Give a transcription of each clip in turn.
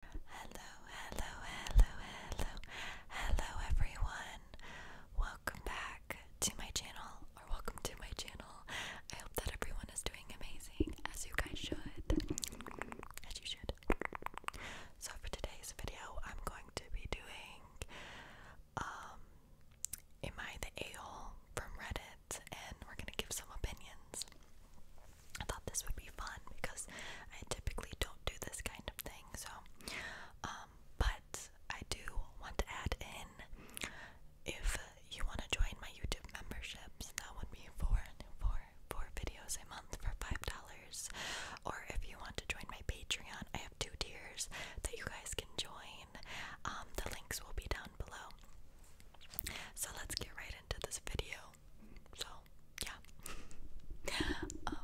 Hello, hello, hello, hello, hello everyone. Welcome back to my channel, or welcome to my channel. I hope that everyone is doing amazing, as you guys should. As you should. So for today's video, I'm going to be doing um Am I the A-hole from Reddit? And we're gonna give some opinions. I thought this would be fun because I typically don't do this kind of thing. So, um, but I do want to add in if you want to join my YouTube memberships, that would be four, four, four videos a month for five dollars. Or if you want to join my Patreon, I have two tiers that you guys can join. Um, the links will be down below. So let's get right into this video so yeah. um,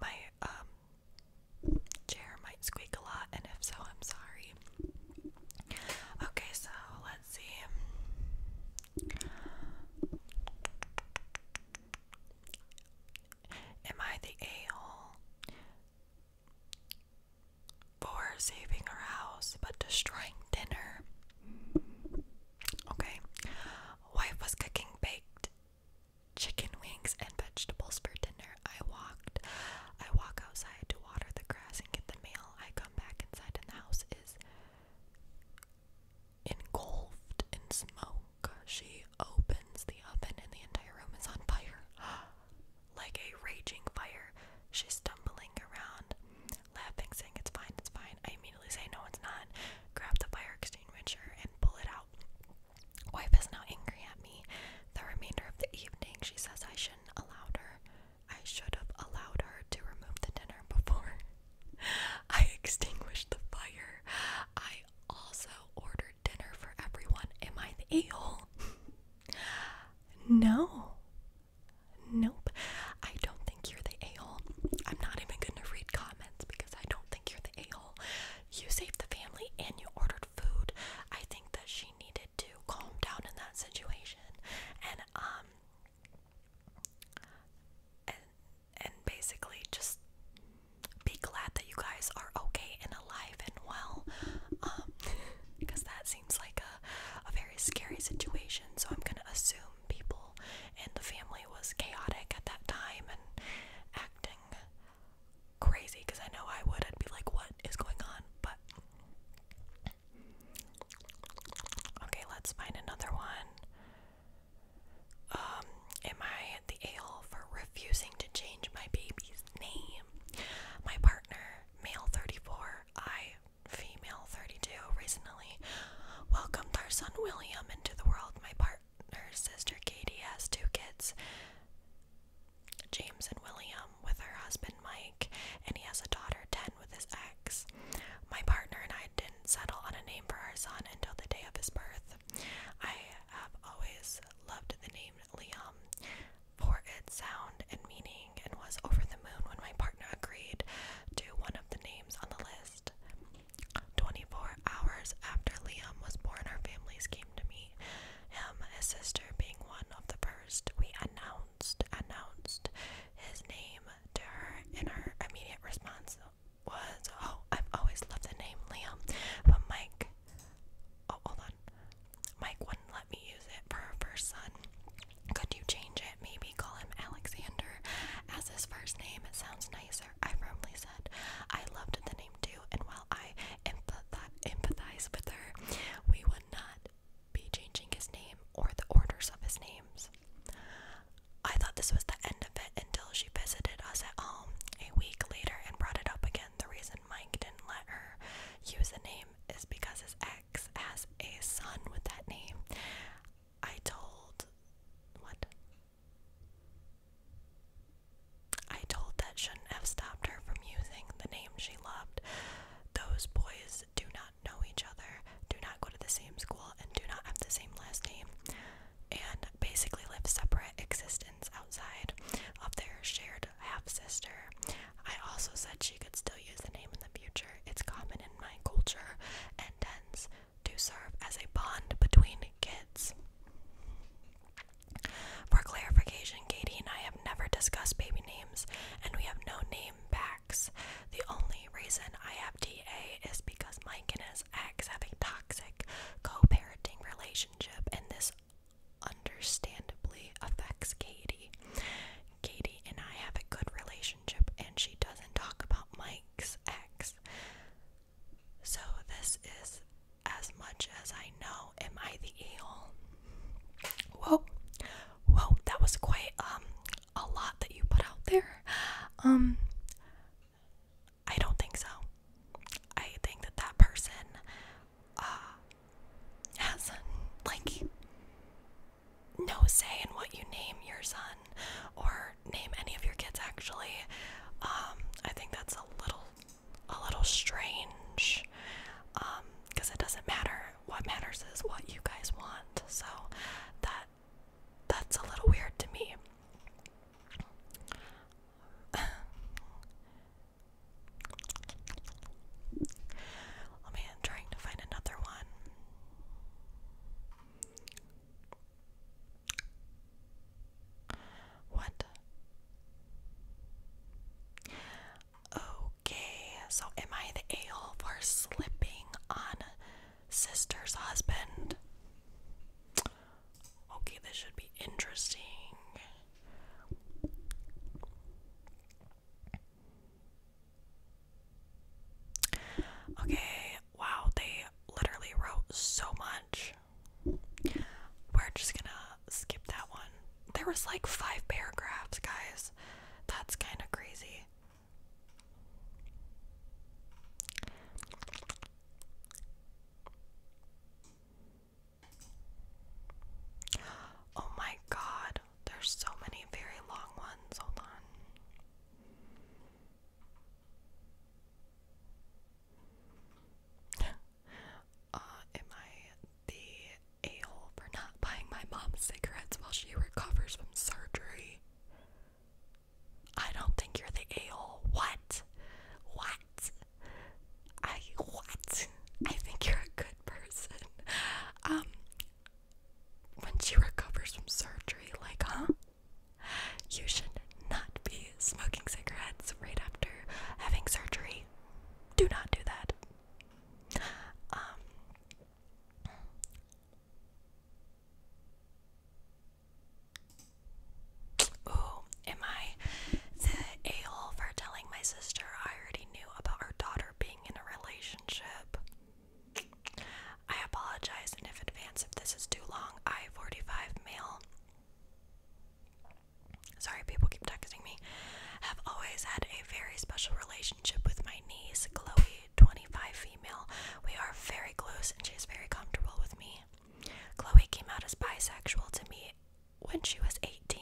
my um chair might squeak a lot, and if so, I'm sorry. Okay, so let's see. Am I the a hole for saving her house but destroying dinner? Okay. Wife was cooking baked chicken wings and vegetables for dinner. I walked. I walk outside to water the grass and get the mail. I come back inside and the house is engulfed in smoke. She opens the oven and the entire room is on fire. like a raging fire. She's stumbling around laughing, saying it's fine, it's fine. I immediately say, no, it's not. Grab the fire extinguisher and pull it out. Wife is now angry at me. The remainder of the evening, she says I shouldn't allowed her. I should have allowed her to remove the dinner before I extinguished the fire. I also ordered dinner for everyone. Am I the a hole? no. Nope. I don't think you're the a-hole. I'm not even gonna read comments because I don't think you're the a-hole. You saved the family and you ordered food. I think that she needed to calm down in that situation and um and and basically just be glad that you guys are okay and alive and well. Um because that seems like a a very scary situation. So I'm gonna assume people, and the family was chaotic at that time and acting crazy because I know I would. I'd be like, what is going on? But. Okay, let's find another one. Um, am I at the ale for refusing to change my baby's name? My partner, male 34, I female 32 recently welcomed our son William into the world. My partner's sister Katie has two kids, James and William, with her husband Mike, and he has a daughter 10 with his ex. My partner and I didn't settle on a name for our son until the day of his birth. I have always loved the name Liam for its sound and meaning and was over the moon when my partner agreed to one of the names on the list. 24 hours after Liam was born, our families came to meet him, his sister being one of the first. We announced announced his name to her, and her immediate response was, "Oh, I've always loved the name Liam, but Mike, oh hold on, Mike wouldn't let me use it for her first son. Could you change it? Maybe call him Alexander as his first name. It sounds nicer, I firmly said. I loved the name too, and while I empathi empathize with her, we would not be changing his name or the orders of his names. I thought this was the end of it until she visited us at home a week later and brought it up again. The reason Mike didn't let her use the name is because his ex has a son with that name. I told what? I told that shouldn't have stopped her from using the name she loved. Those boys do not know each other, do not go to the same school, and do not have the same last name, and basically live separate existence outside of their shared half sister. I also said she could still use the name in the future. It's common in my culture and tends to serve as a bond between kids. For clarification, Katie and I have never discussed baby names, and we have no name packs. The only reason I have DA is because Mike and his ex have a toxic co parenting relationship, and this understandably affects Katie. Katie and I have a good relationship and she doesn't talk about Mike's ex. So, this is as much as I know. Am I the eel? Whoa, whoa, that was quite um, a lot that you put out there. Um, I don't think so. I think that that person uh has like no say in what you name your son or name any of your kids actually um, i think that's a little a little strange because um, it doesn't matter what matters is what you guys want so that that's a little weird to me Oh man, trying to find another one. What? Okay, so am I the a hole for slipping on sister's husband? Okay, this should be interesting. Okay, wow, they literally wrote so much. We're just gonna skip that one. There was like five paragraphs, guys. That's kind of crazy. Oh my god, there's so many very long ones. Hold on uh, am I the a for not buying my mom cigarettes while she recovers from surgery? I don't think you're the a What? What? I what? I think you're a good person. Um when she recovers from surgery, like, huh? You should not be smoking cigarettes right after having surgery. Do not do that. Um, oh, am I the a for telling my sister I already knew about her daughter being in a relationship? I apologize in advance if this is too long. I 45 male. Sorry, people keep texting me. Have always had a very special relationship with my niece, Chloe, 25 female. We are very close and she is very comfortable with me. Chloe came out as bisexual to me when she was 18.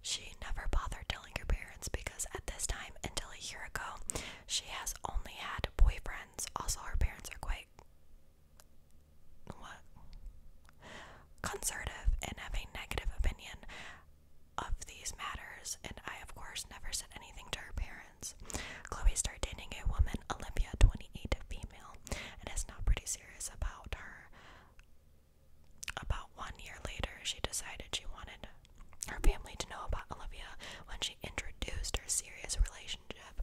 She never bothered telling her parents because at this time, until a year ago, she has only had boyfriends. Also, her parents are quite what conservative and have a negative opinion of these matters. And I, of course, never said anything to her parents. Chloe started dating a woman, Olympia, 28, female, and is now pretty serious about her. About one year later, she decided she wanted her family to know about Olivia when she introduced her serious relationship.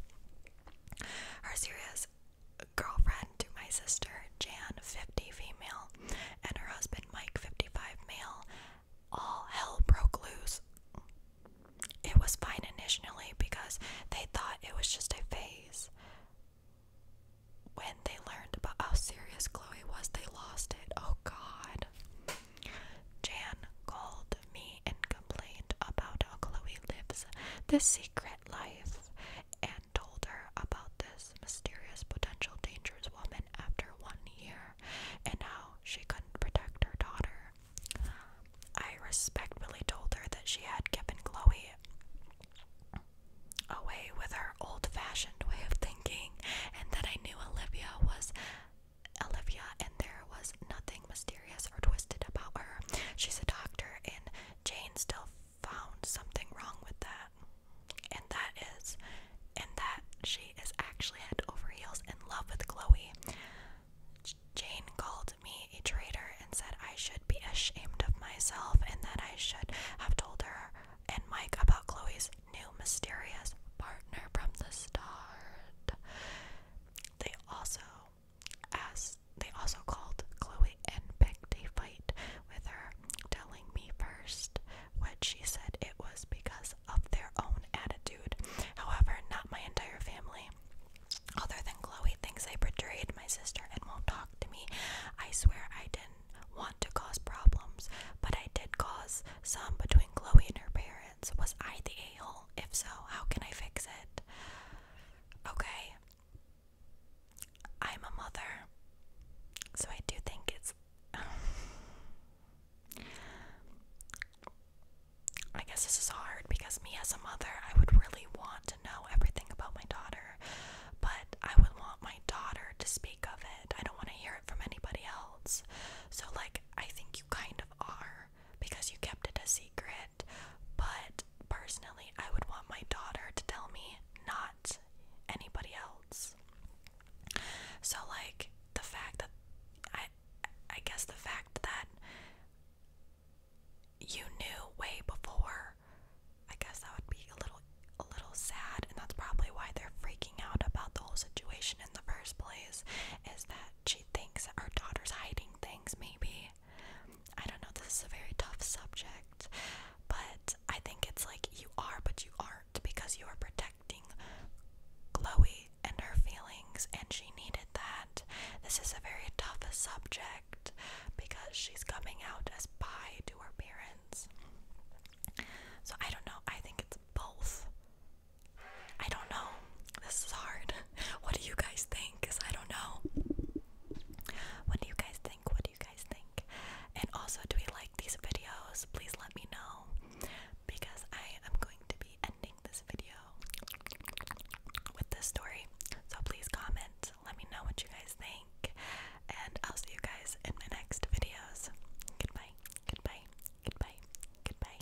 Her serious girlfriend to my sister, Jan, 50 female, and her husband, Mike, 55 male, all hell broke loose. It was fine initially because they thought it was just a phase. When they learned about how serious Chloe was, they lost it. Oh god. Jan called me and complained about how Chloe lives this secret life and told her about this mysterious, potential dangerous woman after one year and how she couldn't protect her daughter. I respectfully told her that she had given Chloe away with her old fashioned way of thinking and that I knew Olivia was Olivia, and there was nothing mysterious or twisted about her. She's a doctor, and Jane still found something wrong with that. And that is, and that she is actually head over heels in love with Chloe. Jane called me a traitor and said I should be ashamed of myself and that I should have told her and Mike about Chloe's new mysterious partner from the start. They also asked they also called Chloe and picked a fight with her, telling me first what she said it was because of their own attitude. However, not my entire family. Other than Chloe thinks I betrayed my sister and won't talk to me. I swear I didn't want to cause problems, but I did cause some between Chloe and her parents. Was I the a hole? If so, how can I fix it? Okay. I'm a mother. So I do think it's. I guess this is hard because me as a mother, I would really want to know everything about my daughter, but I would want my daughter to speak of it. I don't want to hear it from anybody else. So, like, I think you kind of are because you kept it a secret. But personally, I would want my daughter to tell me, not anybody else. So, like, the fact that I, I guess the fact that you knew way before, I guess that would be a little, a little sad, and that's probably why they're freaking out about the whole situation in the first place. Is that thinks her daughter's hiding things, maybe. I don't know, this is a very tough subject, but I think it's like you are, but you aren't because you are protecting Chloe and her feelings, and she needed that. This is a very tough subject because she's coming out as bi to her parents. So I don't know, I think it's both. I don't know. This is hard. What do you guys think? Cause I don't know. What do you guys think? What do you guys think? And also, do we like these videos? Please let me know because I am going to be ending this video with this story. So please comment. Let me know what you guys think, and I'll see you guys in my next videos. Goodbye. Goodbye. Goodbye. Goodbye.